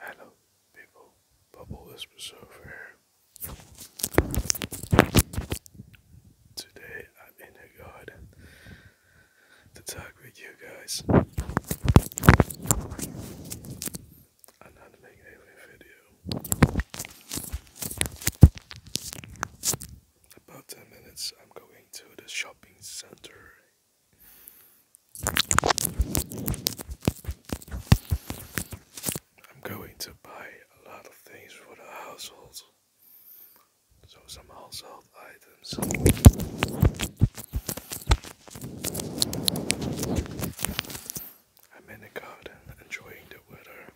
Hello, people. Bubble Espresso here. Today I'm in a garden to talk with you guys. I'm video. About 10 minutes, I'm going to the shopping center I'm going to buy a lot of things for the household. So some household items. I'm in the garden enjoying the weather.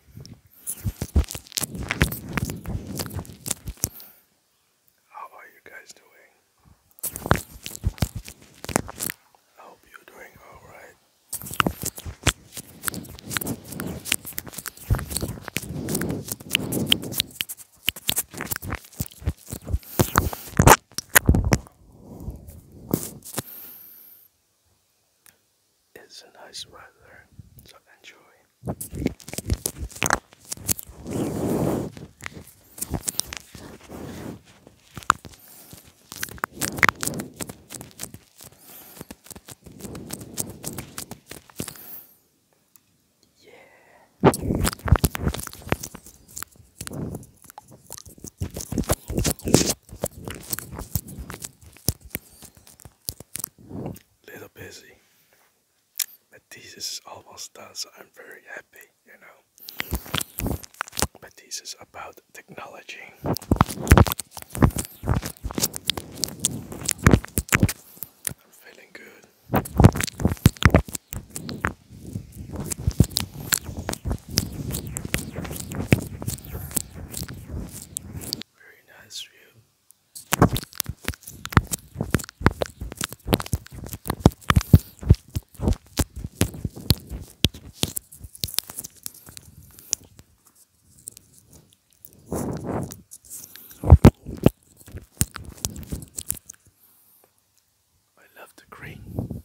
How are you guys doing? I hope you're doing alright. It's a nice weather, so enjoy yeah. Little busy. But this is almost done, so I'm very happy, you know. But this is about technology. I'm feeling good. Very nice view. I love the green.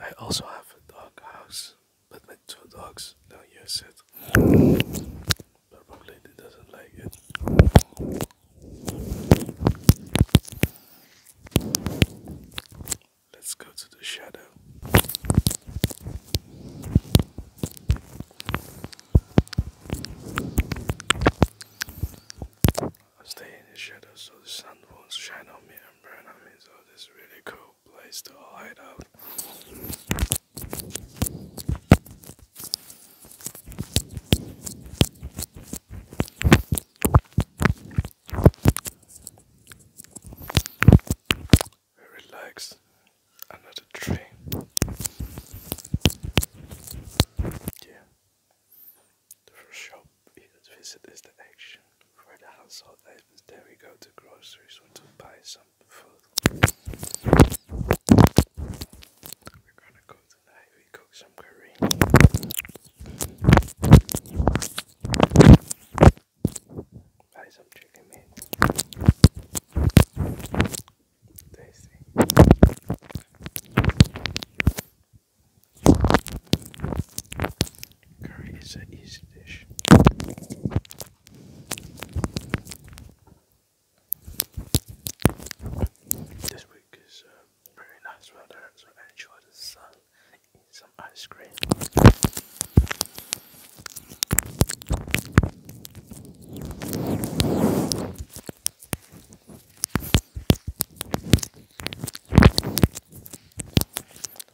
I also have a dog house. But my two dogs now use it. Probably doesn't like it. Let's go to the shadow. i stay in the shadow so the sun won't shine on me and burn on me, so this is really cool place to hide out. Relax under the tree. Yeah. The first shop we visit is the action for the household happens we go to grocery store to buy some food. We're gonna go tonight, we cook some curry. Buy some chicken meat. Tasty. Curry is an easy dish. This week is uh, very nice weather, so enjoy the sun, eat some ice cream.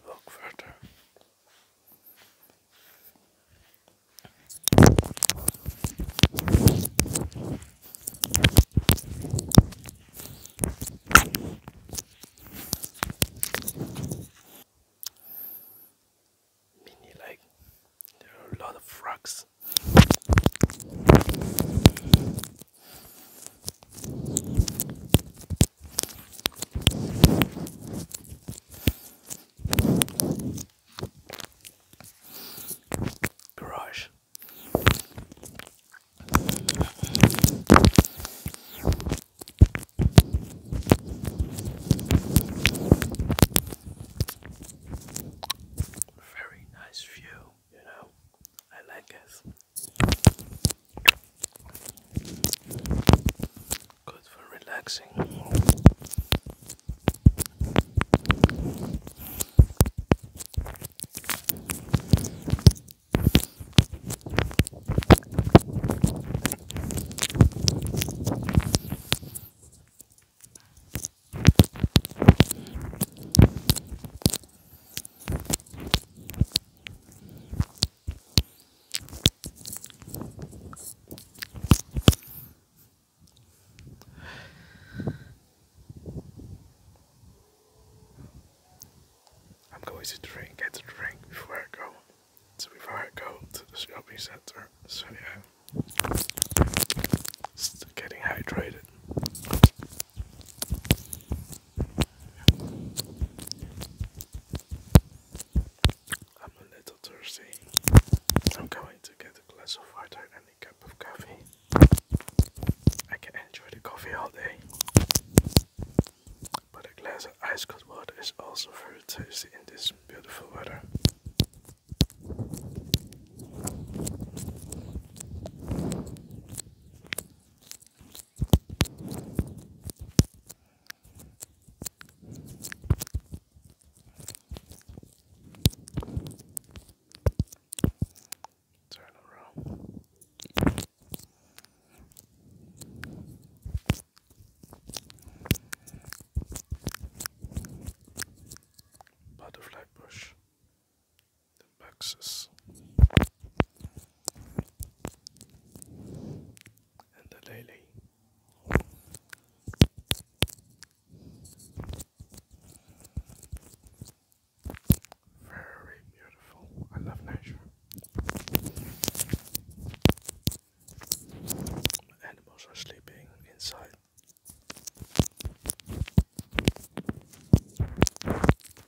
Look further. Mini lake. There are a lot of frogs. Garage. Very nice view, you know. I like this. Good for relaxing. I'm going to drink, get a drink before I go. So before I go to the shopping center, so yeah, still getting hydrated. I'm a little thirsty. I'm going to get a glass of water and a cup of coffee. I can enjoy the coffee all day. But a glass of ice cold water is also very tasty in this beautiful weather. Turn around. Butterfly bush. Buxus. And the lily. Very beautiful. I love nature. animals are sleeping inside.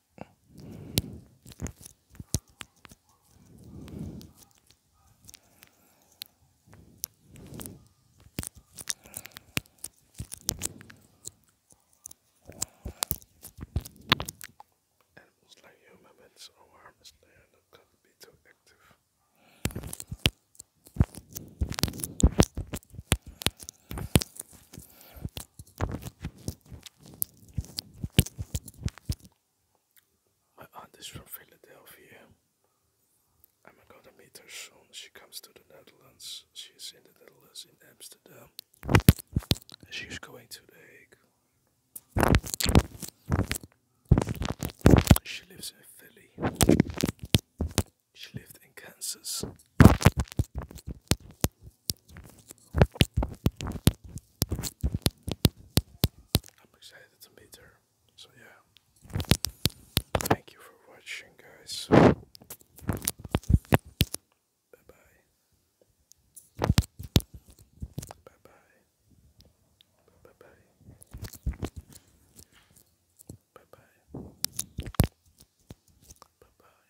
Animals like humans or harmless, they are not going to be too active. My aunt is from Philadelphia. I'm going to meet her soon. She comes to the Netherlands. She's in the Netherlands, in Amsterdam. She's going to The Hague. She lives in Philly. She lived in Kansas. I'm excited to meet her. So yeah. Thank you for watching guys. Bye bye. Bye bye. Bye bye. Bye bye. Bye bye.